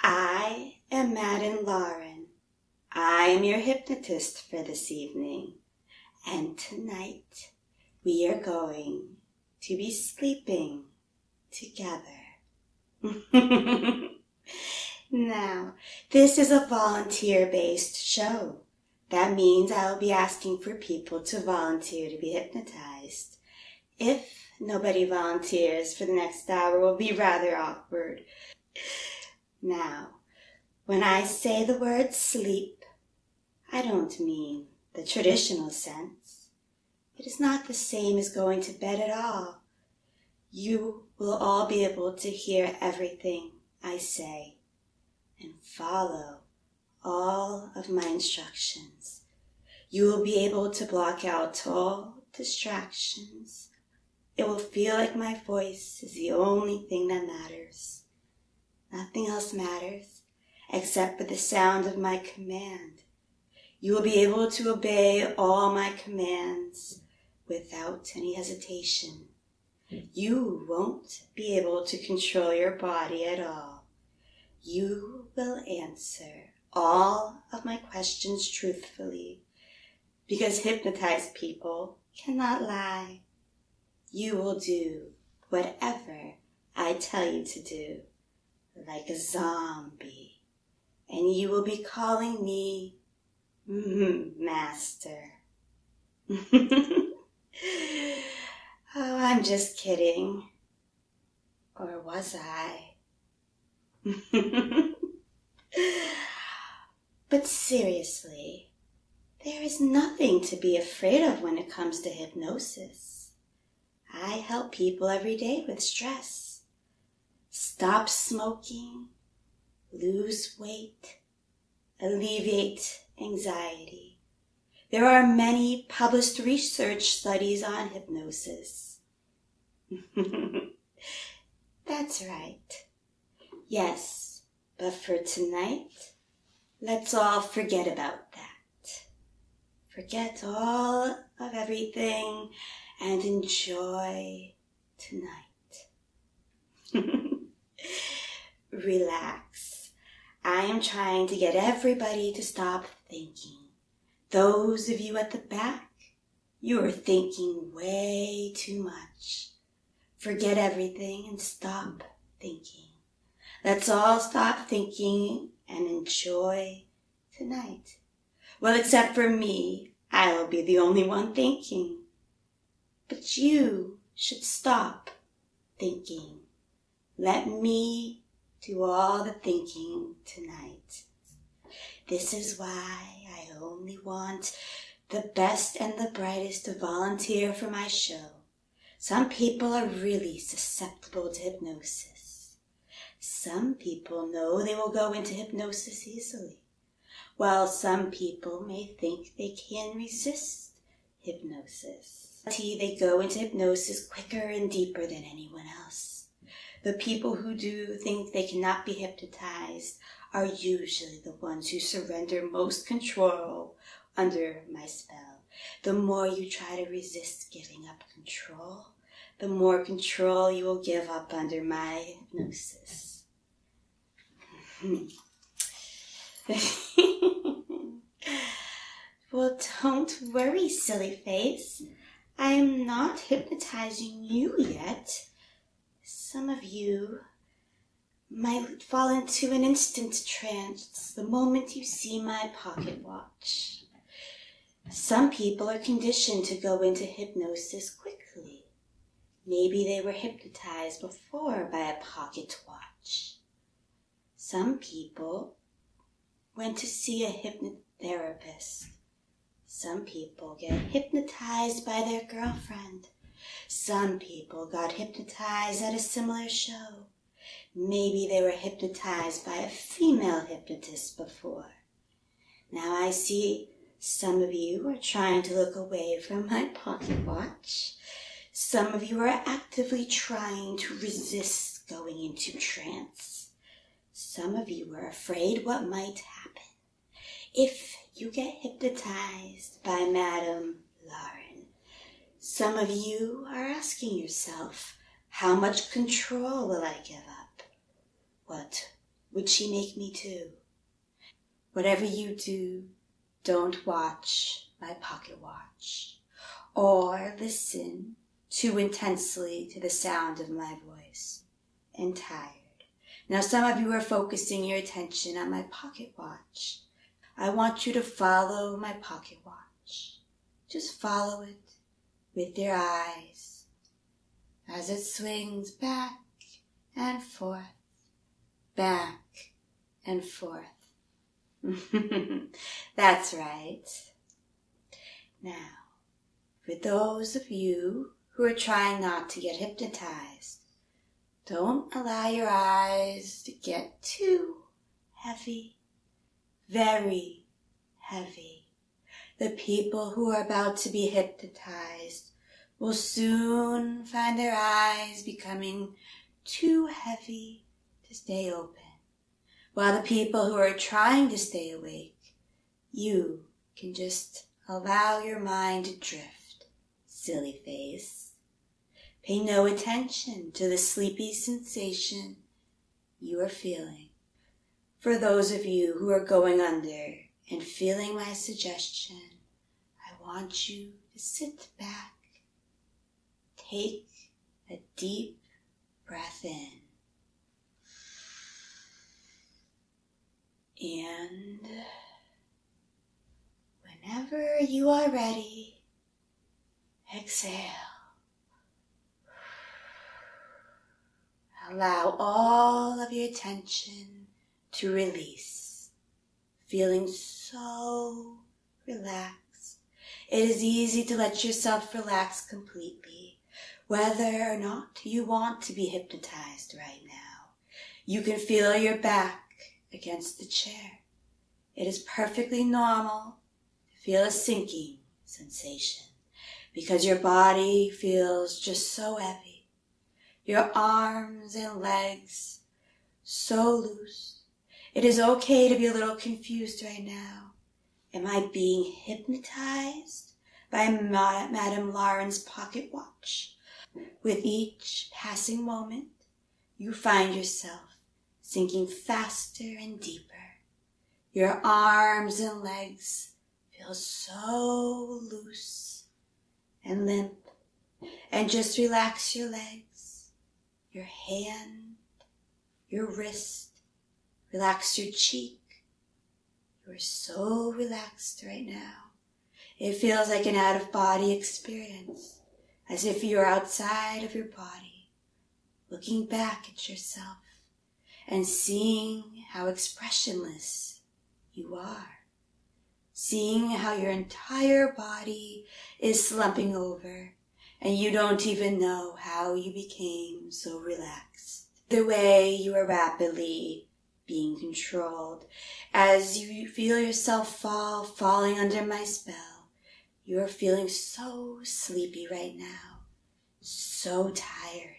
I am Madden Lauren. I am your hypnotist for this evening. And tonight we are going to be sleeping together. now, this is a volunteer based show. That means I will be asking for people to volunteer to be hypnotized. If nobody volunteers for the next hour will be rather awkward. Now, when I say the word sleep, I don't mean the traditional sense. It is not the same as going to bed at all. You will all be able to hear everything I say and follow all of my instructions. You will be able to block out all distractions. It will feel like my voice is the only thing that matters. Nothing else matters except for the sound of my command. You will be able to obey all my commands without any hesitation. You won't be able to control your body at all. You will answer all of my questions truthfully because hypnotized people cannot lie. You will do whatever I tell you to do, like a zombie, and you will be calling me Master. oh, I'm just kidding. Or was I? but seriously, there is nothing to be afraid of when it comes to hypnosis. I help people every day with stress. Stop smoking, lose weight, alleviate anxiety. There are many published research studies on hypnosis. That's right. Yes, but for tonight, let's all forget about that. Forget all of everything and enjoy tonight. Relax. I am trying to get everybody to stop thinking. Those of you at the back, you are thinking way too much. Forget everything and stop thinking. Let's all stop thinking and enjoy tonight. Well, except for me, I will be the only one thinking. But you should stop thinking. Let me do all the thinking tonight. This is why I only want the best and the brightest to volunteer for my show. Some people are really susceptible to hypnosis. Some people know they will go into hypnosis easily, while some people may think they can resist hypnosis. They go into hypnosis quicker and deeper than anyone else. The people who do think they cannot be hypnotized are usually the ones who surrender most control under my spell. The more you try to resist giving up control, the more control you will give up under my hypnosis. well, don't worry, silly face. I am not hypnotizing you yet. Some of you might fall into an instant trance the moment you see my pocket watch. Some people are conditioned to go into hypnosis quickly. Maybe they were hypnotized before by a pocket watch. Some people went to see a hypnotherapist some people get hypnotized by their girlfriend. Some people got hypnotized at a similar show. Maybe they were hypnotized by a female hypnotist before. Now I see some of you are trying to look away from my pocket watch. Some of you are actively trying to resist going into trance. Some of you are afraid what might happen if you get hypnotized by Madame Lauren. Some of you are asking yourself, how much control will I give up? What would she make me do? Whatever you do, don't watch my pocket watch or listen too intensely to the sound of my voice and tired. Now, some of you are focusing your attention on my pocket watch. I want you to follow my pocket watch. Just follow it with your eyes as it swings back and forth, back and forth. That's right. Now, for those of you who are trying not to get hypnotized, don't allow your eyes to get too heavy, very heavy. The people who are about to be hypnotized will soon find their eyes becoming too heavy to stay open, while the people who are trying to stay awake you can just allow your mind to drift, silly face. Pay no attention to the sleepy sensation you are feeling. For those of you who are going under and feeling my suggestion, I want you to sit back, take a deep breath in, and whenever you are ready, exhale. Allow all of your tension to release, feeling so relaxed. It is easy to let yourself relax completely. Whether or not you want to be hypnotized right now, you can feel your back against the chair. It is perfectly normal to feel a sinking sensation because your body feels just so heavy. Your arms and legs so loose. It is okay to be a little confused right now. Am I being hypnotized? by Madame Lauren's pocket watch. With each passing moment, you find yourself sinking faster and deeper. Your arms and legs feel so loose and limp. And just relax your legs, your hand, your wrist. Relax your cheek, you're so relaxed right now. It feels like an out of body experience, as if you're outside of your body, looking back at yourself and seeing how expressionless you are, seeing how your entire body is slumping over and you don't even know how you became so relaxed the way you are rapidly being controlled. As you feel yourself fall, falling under my spell, you are feeling so sleepy right now, so tired.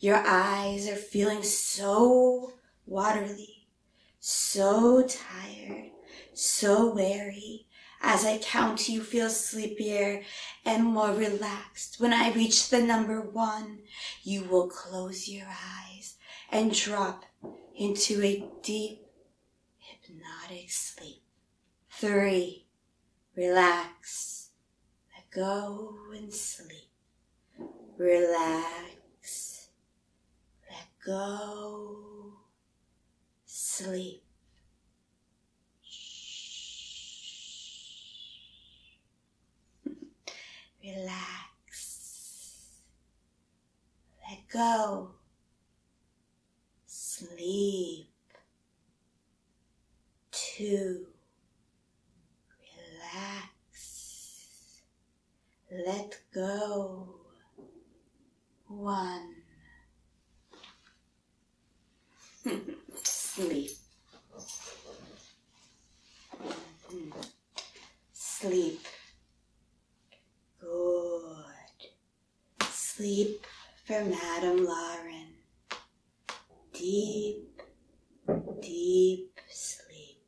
Your eyes are feeling so watery, so tired, so weary. As I count, you feel sleepier and more relaxed. When I reach the number one, you will close your eyes and drop into a deep hypnotic sleep. Three, relax, let go and sleep. Relax, let go, sleep. Relax. Let go. Sleep. Two. Relax. Let go. One. Sleep. Sleep. Good. Sleep for Madame Lauren. Deep, deep sleep.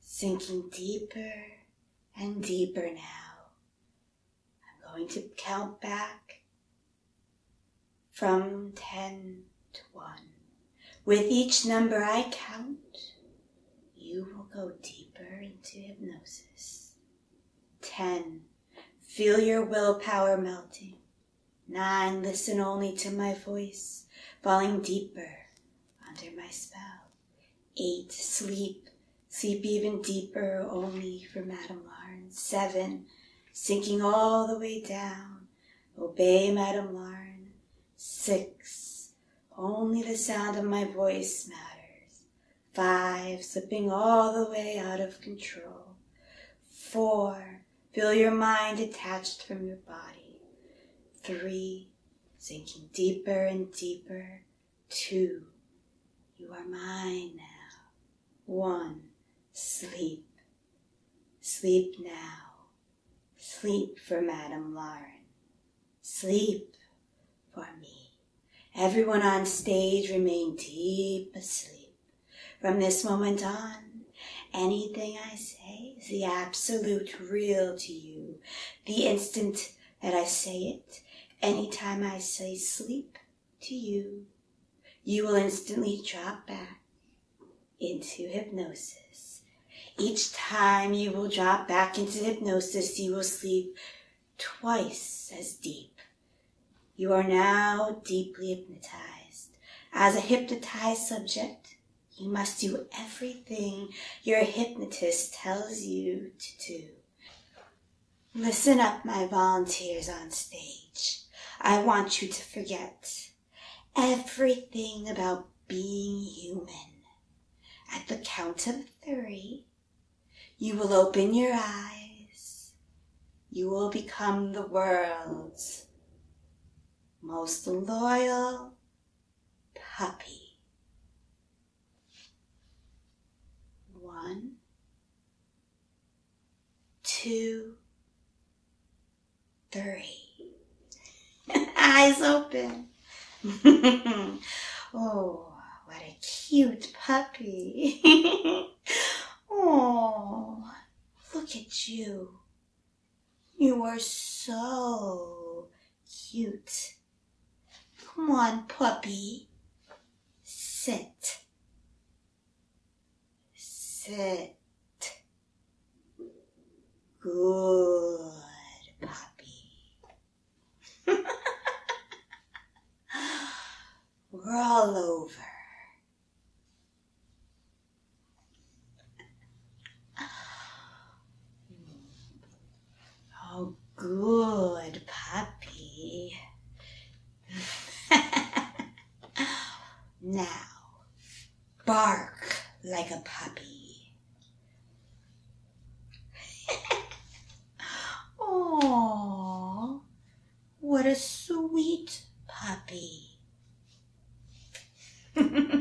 Sinking deeper and deeper now. I'm going to count back from ten to one. With each number I count, you will go deeper into hypnosis. Ten, feel your willpower melting. Nine, listen only to my voice, falling deeper under my spell. Eight, sleep, sleep even deeper only for Madame Lauren. Seven, sinking all the way down Obey, Madame Larn. Six. Only the sound of my voice matters. Five. Slipping all the way out of control. Four. Feel your mind detached from your body. Three. Sinking deeper and deeper. Two. You are mine now one, sleep. Sleep now. Sleep for Madame Lauren. Sleep for me. Everyone on stage remain deep asleep. From this moment on, anything I say is the absolute real to you. The instant that I say it, any time I say sleep to you, you will instantly drop back into hypnosis. Each time you will drop back into hypnosis, you will sleep twice as deep. You are now deeply hypnotized. As a hypnotized subject, you must do everything your hypnotist tells you to do. Listen up, my volunteers on stage. I want you to forget everything about being human. At the count of three, you will open your eyes. You will become the world's most loyal puppy. One, two, three. Eyes open. oh, what a cute puppy. oh, look at you. You are so cute. Come on, puppy. Sit. Sit. Good puppy. Roll over. Oh, good puppy. now, bark like a puppy. Aww, what a sweet puppy.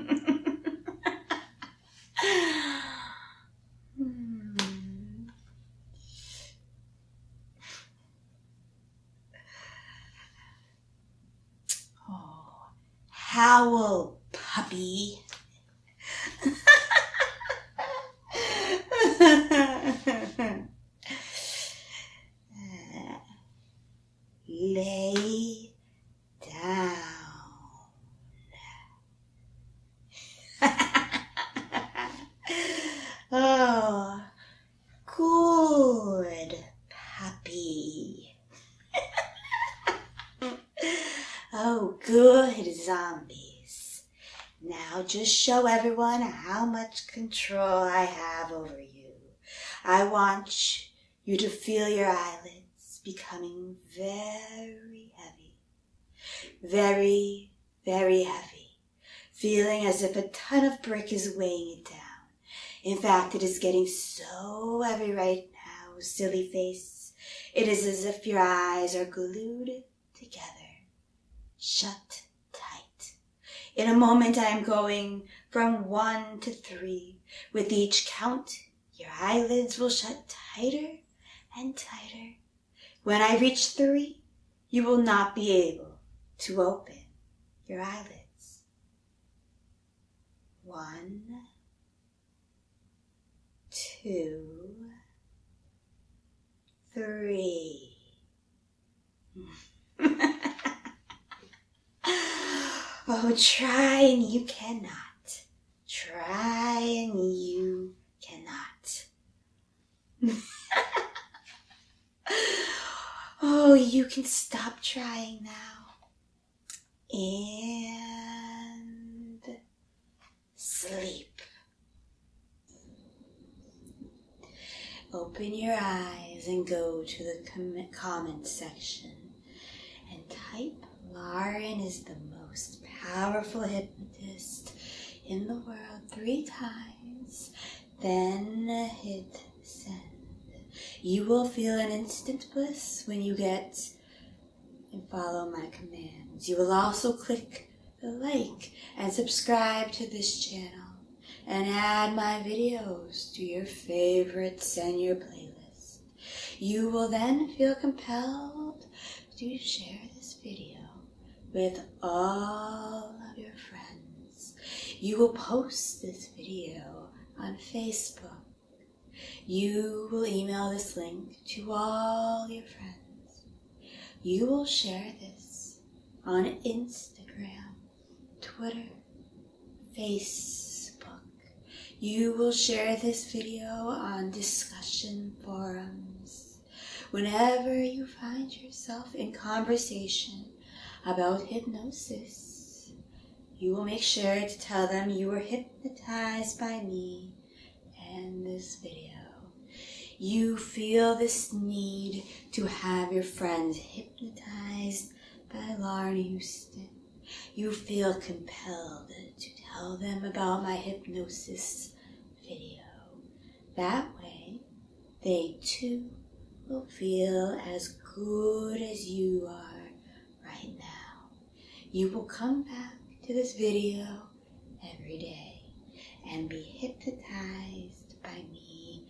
Hmm howl, puppy. Lay down. oh, Good puppy. oh, good zombies. Now just show everyone how much control I have over you. I want you to feel your eyelids becoming very heavy. Very, very heavy. Feeling as if a ton of brick is weighing it down. In fact, it is getting so heavy right now, silly face. It is as if your eyes are glued together, shut tight. In a moment, I am going from one to three. With each count, your eyelids will shut tighter and tighter. When I reach three, you will not be able to open your eyelids. One, two, three. oh, try and you cannot. Try and you cannot. Oh, you can stop trying now. And sleep. Open your eyes and go to the comment section and type Lauren is the most powerful hypnotist in the world three times then hit send. You will feel an instant bliss when you get and follow my commands. You will also click the like and subscribe to this channel and add my videos to your favorites and your playlist. You will then feel compelled to share this video with all of your friends. You will post this video on Facebook. You will email this link to all your friends. You will share this on Instagram, Twitter, Facebook. You will share this video on discussion forums. Whenever you find yourself in conversation about hypnosis, you will make sure to tell them you were hypnotized by me and this video. You feel this need to have your friends hypnotized by Lauren Houston. You feel compelled to tell them about my hypnosis video. That way, they too will feel as good as you are right now. You will come back to this video every day and be hypnotized by me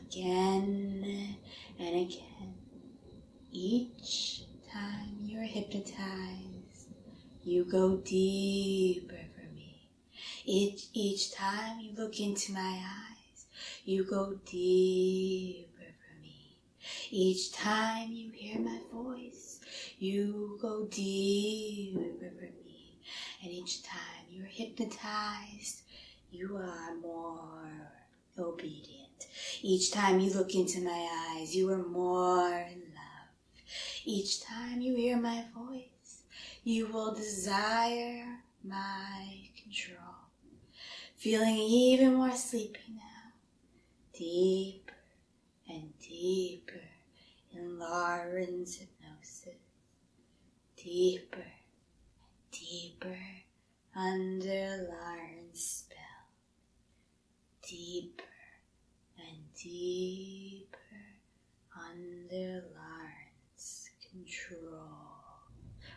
again and again. Each time you're hypnotized, you go deeper for me. Each, each time you look into my eyes, you go deeper for me. Each time you hear my voice, you go deeper for me. And each time you're hypnotized, you are more obedient. Each time you look into my eyes, you are more in love. Each time you hear my voice, you will desire my control. Feeling even more sleepy now, deeper and deeper in Lauren's hypnosis, deeper and deeper under Lauren's spell, deeper and deeper under Lauren's control.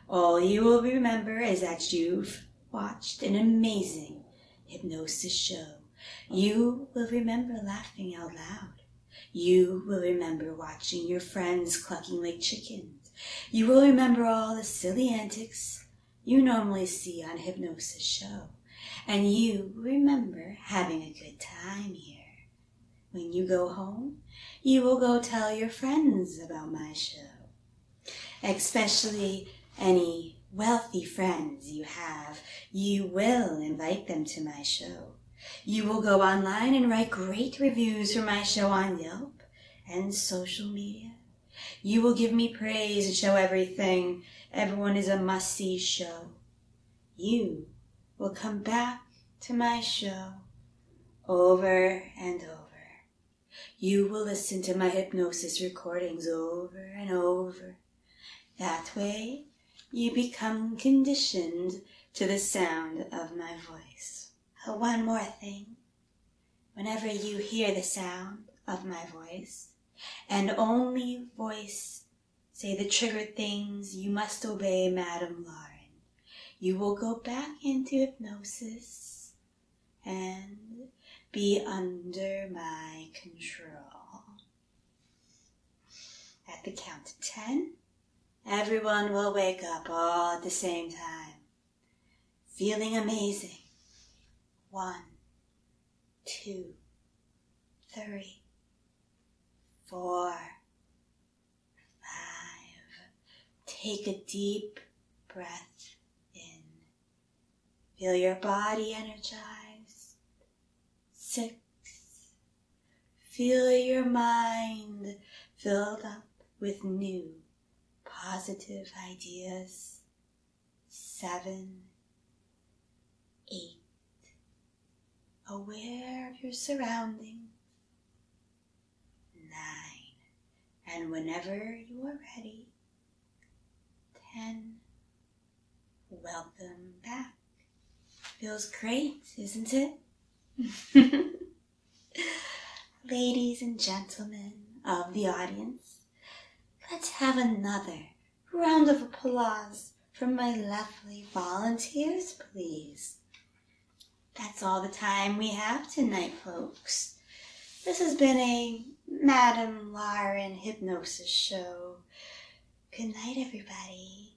All you will remember is that you've watched an amazing hypnosis show. You will remember laughing out loud. You will remember watching your friends clucking like chickens. You will remember all the silly antics you normally see on a hypnosis show. And you will remember having a good time here. When you go home, you will go tell your friends about my show especially any wealthy friends you have. You will invite them to my show. You will go online and write great reviews for my show on Yelp and social media. You will give me praise and show everything. Everyone is a must see show. You will come back to my show over and over. You will listen to my hypnosis recordings over and over. That way, you become conditioned to the sound of my voice. Oh, one more thing. Whenever you hear the sound of my voice, and only voice say the triggered things you must obey Madame Lauren, you will go back into hypnosis and be under my control. At the count of 10, everyone will wake up all at the same time, feeling amazing. One, two, three, four, five. Take a deep breath in. Feel your body energized. Six. Feel your mind filled up with new positive ideas. Seven. Eight. Aware of your surroundings nine, and whenever you are ready, ten. Welcome back. Feels great, isn't it? Ladies and gentlemen of the audience, let's have another round of applause from my lovely volunteers, please. That's all the time we have tonight, folks. This has been a Madam Lauren hypnosis show. Good night, everybody.